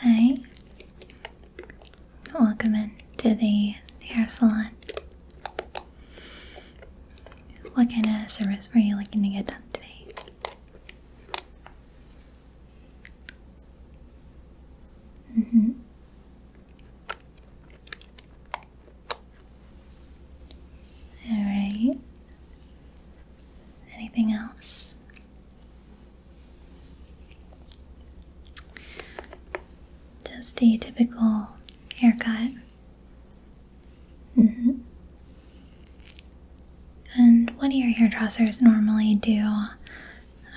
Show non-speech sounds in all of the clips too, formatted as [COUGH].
Hi, welcome in to the hair salon. What kind of service were you looking to get done today? Mm hmm. All right. Anything else? Just a typical haircut. Mm-hmm. And what do your hairdressers normally do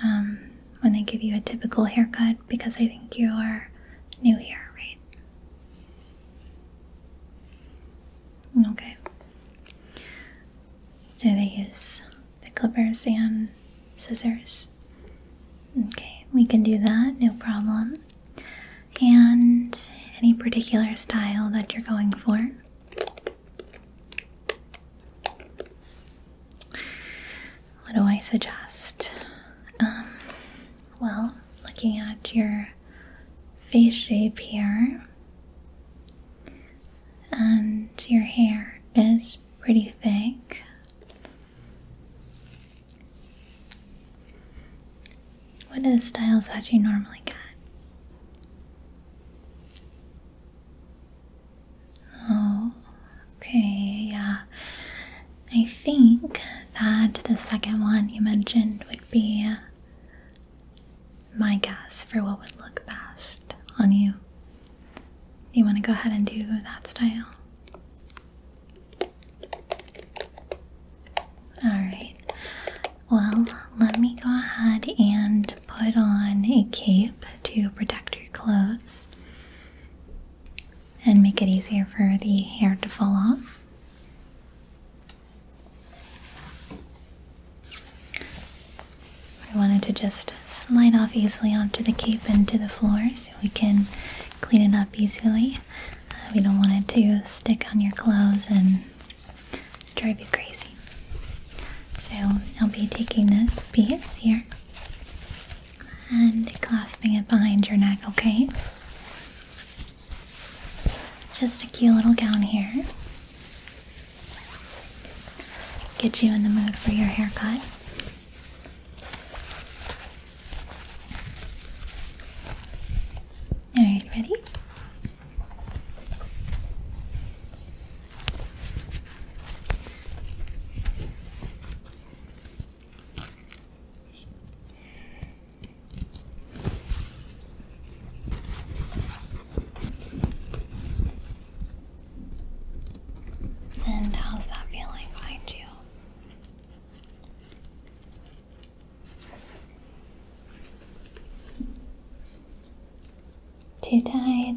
um, when they give you a typical haircut? Because I think you are new here, right? Okay. So they use the clippers and scissors. Okay, we can do that, no problem. And any particular style that you're going for. What do I suggest? Um, well, looking at your face shape here, and your hair is pretty thick. What are the styles that you normally get? Oh, okay, yeah. I think that the second one you mentioned would be my guess for what would look best on you. You want to go ahead and do that style? Alright, well, let me go ahead and put on a cape to protect your clothes and make it easier for the hair to fall off. We wanted to just slide off easily onto the cape and to the floor so we can clean it up easily. Uh, we don't want it to stick on your clothes and drive you crazy. So I'll be taking this piece here and clasping it behind your neck, okay? Just a cute little gown here. Get you in the mood for your haircut. Alright, ready? And how's that feeling behind you? Too tight.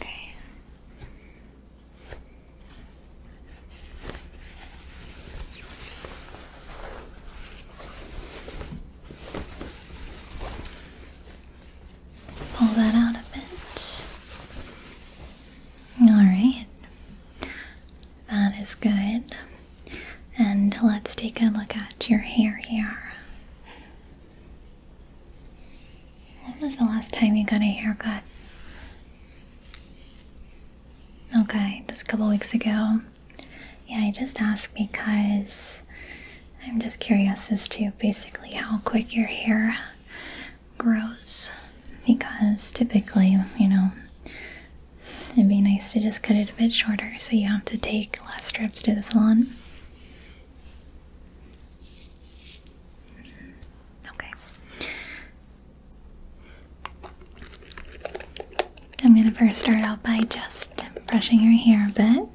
Okay. Pull that out a bit. Alright, that is good. And let's take a look at your hair here. When was the last time you got a haircut? Okay, just a couple weeks ago. Yeah, I just ask because I'm just curious as to basically how quick your hair grows. Because typically, you know, it'd be nice to just cut it a bit shorter so you have to take less trips to the salon. Okay. I'm going to first start out by just brushing your hair a bit.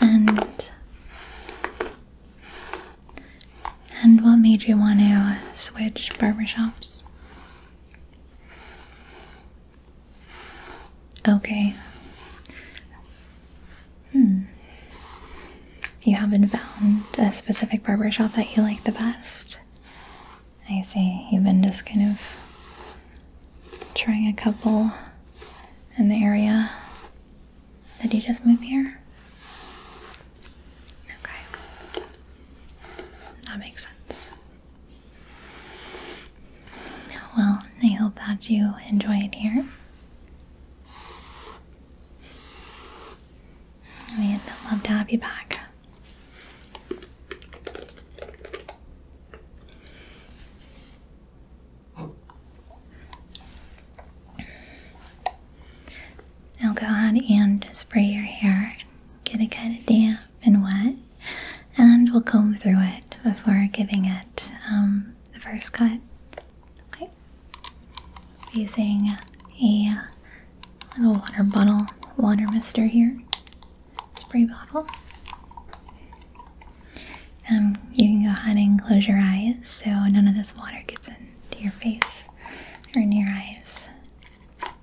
And and what made you want to switch barbershops? Okay. Hmm. You haven't found a specific barbershop that you like the best? I see. You've been just kind of trying a couple in the area. Did you just move here? Okay. That makes sense. Well, I hope that you enjoy it here. I would love to have you back. I'll go ahead and spray your hair get it kind of damp and wet, and we'll comb through it before giving it um, the first cut. Okay, using a little water bottle, water mister here, spray bottle. Um, you can go ahead and close your eyes so none of this water gets into your face or in your eyes.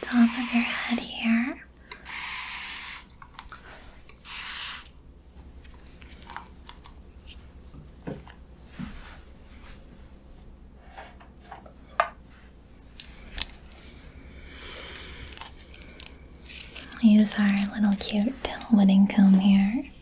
Top of your head here. Use our little cute wooden comb here.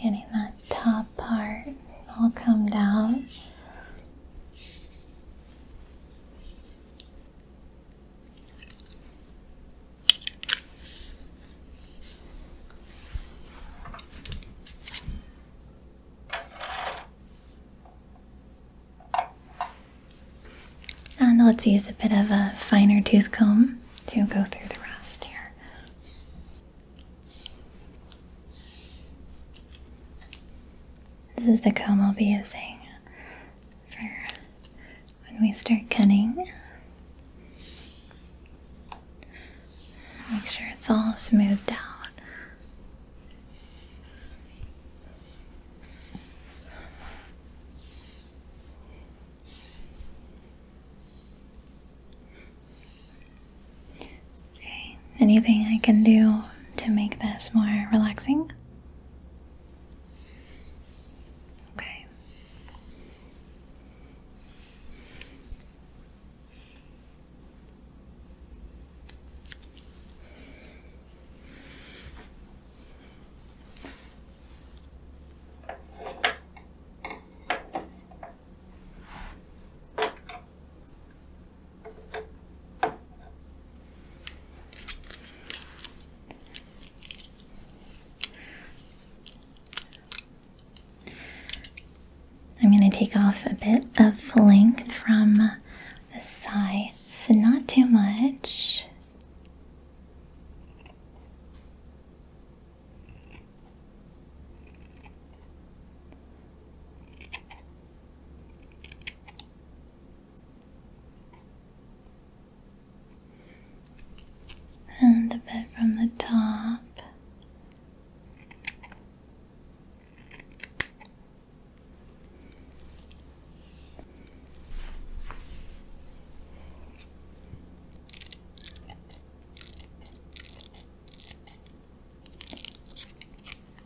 Getting that top part all come down. And let's use a bit of a finer tooth comb to go through the rest here. This is the comb I'll be using for when we start cutting. Make sure it's all smoothed out. Okay, anything I can do to make this more relaxing? Okay. I'm going to take off a bit of length from the sides, not too much and a bit from the top.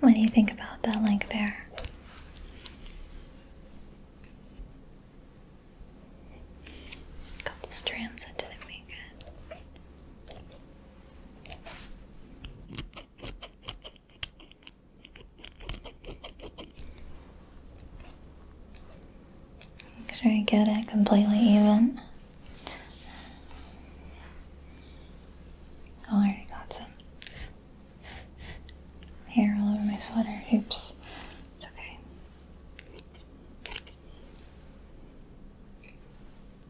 What do you think about that link there? A couple strands that didn't make it. Make sure you get it completely even. Oh, already got some hair all over my sweater. Oops. It's okay.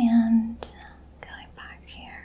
And going back here.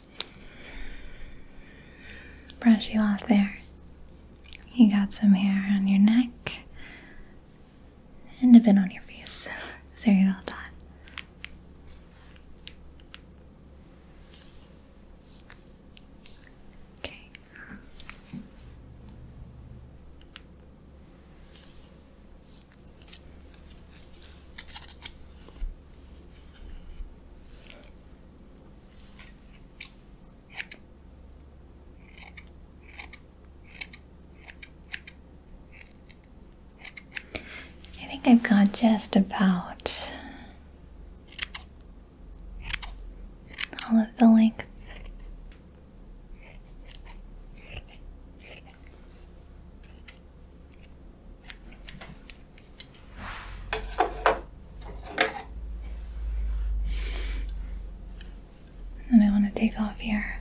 brush you off there. You got some hair on your neck and a bit on your face. Sorry about that. Okay. I think I've got just about all of the length. And I want to take off here.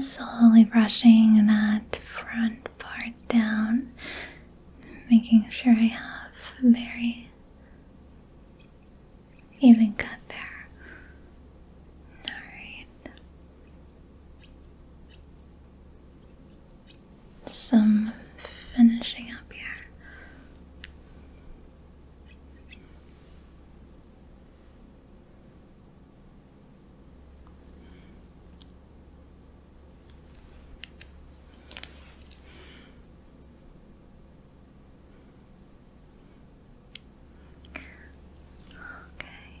slowly brushing that front part down, making sure I have a very even cut there. Alright. Some finishing up here. Okay.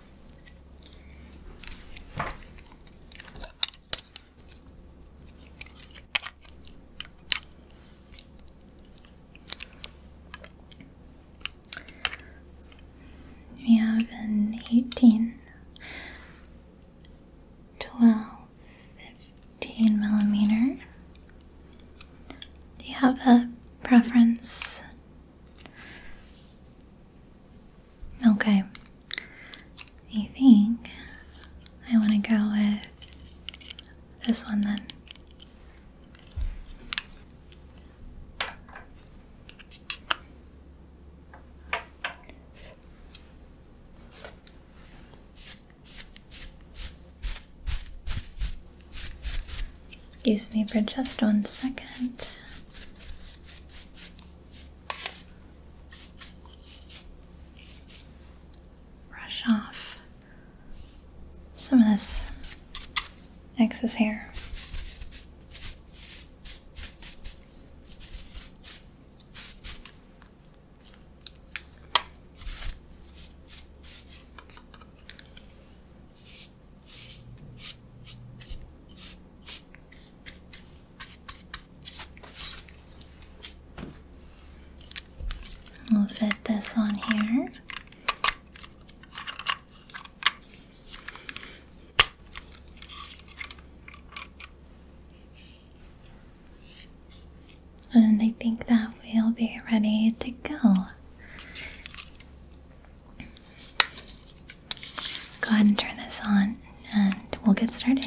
We have an eighteen, twelve, fifteen millimeter. Do you have a preference Okay. I think I want to go with this one then. Excuse me for just one second. Brush off some of this excess hair. We'll fit this on here. And I think that we'll be ready to go. Go ahead and turn this on and we'll get started.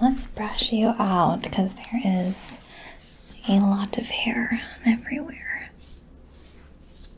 Let's brush you out because there is a lot of hair everywhere.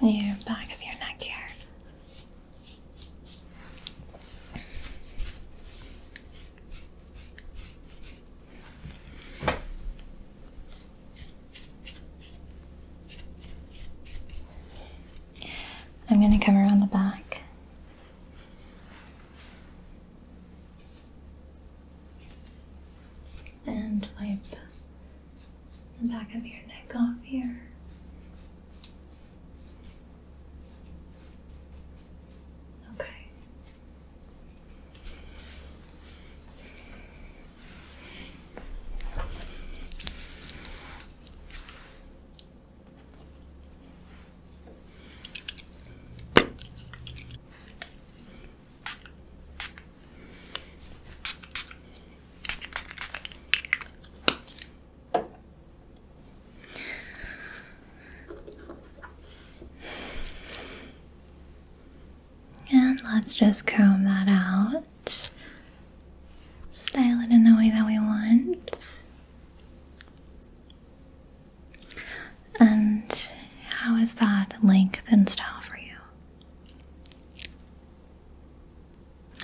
Near back of your neck here. I'm going to come around the back and wipe the back of your neck off here. Okay. And let's just comb that out. Style it in the way that we want. And how is that length and style for you?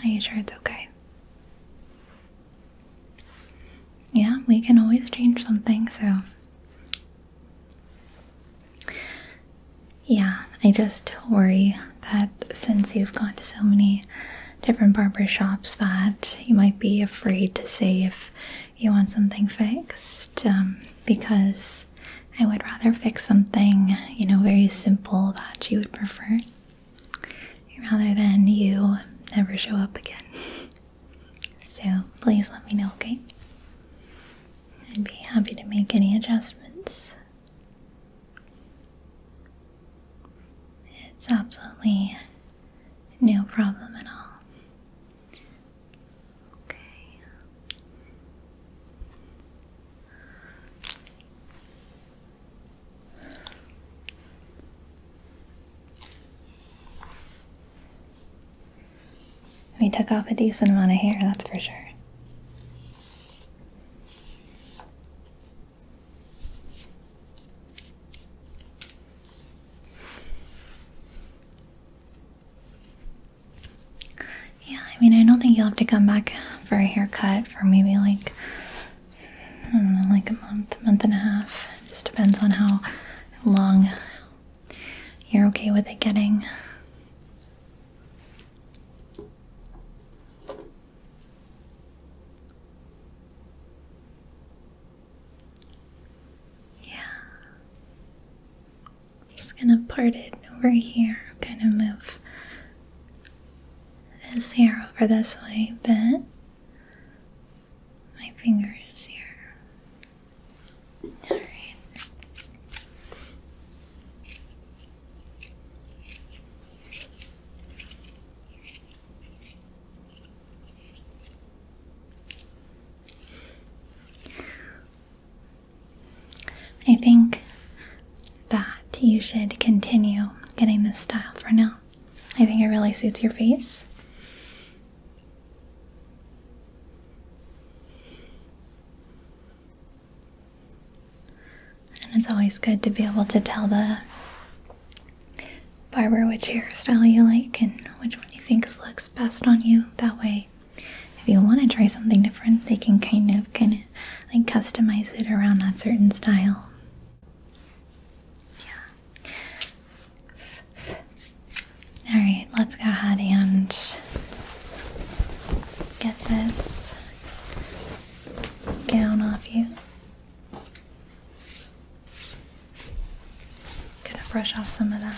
Are you sure it's okay? Yeah, we can always change something, so. Yeah, I just worry that since you've gone to so many different barber shops that you might be afraid to say if you want something fixed um, because I would rather fix something, you know, very simple that you would prefer rather than you never show up again. [LAUGHS] So please let me know, okay? I'd be happy to make any adjustments. It's absolutely no problem at all. Okay. We took off a decent amount of hair, that's for sure. Yeah, I mean, I don't think you'll have to come back for a haircut for maybe like, I do like a month, month and a half. just depends on how long you're okay with it getting. Yeah. I'm just gonna part it over here, kind of move this hair over this way a bit. My fingers here. Alright. I think that you should continue getting this style for now. I think it really suits your face. And it's always good to be able to tell the barber which hairstyle you like and which what you think looks best on you. That way, if you want to try something different, they can kind of, kind of like customize it around that certain style. Yeah. All right, let's go ahead and get this gown off you. Gonna brush off some of that.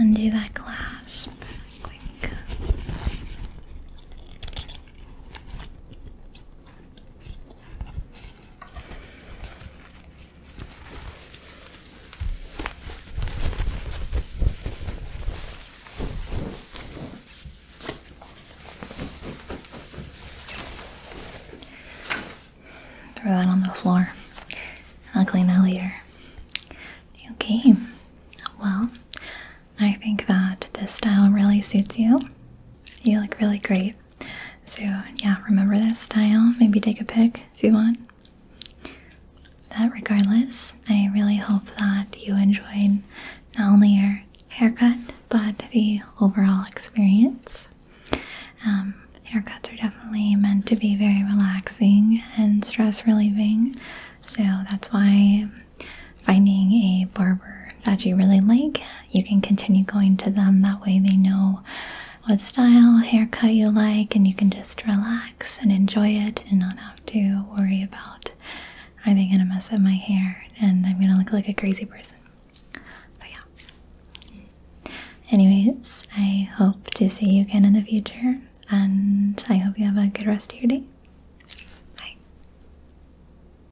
Undo that clasp quick. Throw that on the floor. I'll clean that later. Okay, well, I think that this style really suits you. You look really great. So, yeah, remember that style. Maybe take a pic if you want. That regardless, I really hope that you enjoyed not only your haircut, but the overall experience. Um, haircuts are definitely meant to be very relaxing and stress relieving, so that's why finding a barber that you really like, you can continue going to them. That way, they know what style haircut you like, and you can just relax and enjoy it and not have to worry about are they going to mess up my hair and I'm going to look like a crazy person. But yeah. Anyways, I hope to see you again in the future, and I hope you have a good rest of your day. Bye.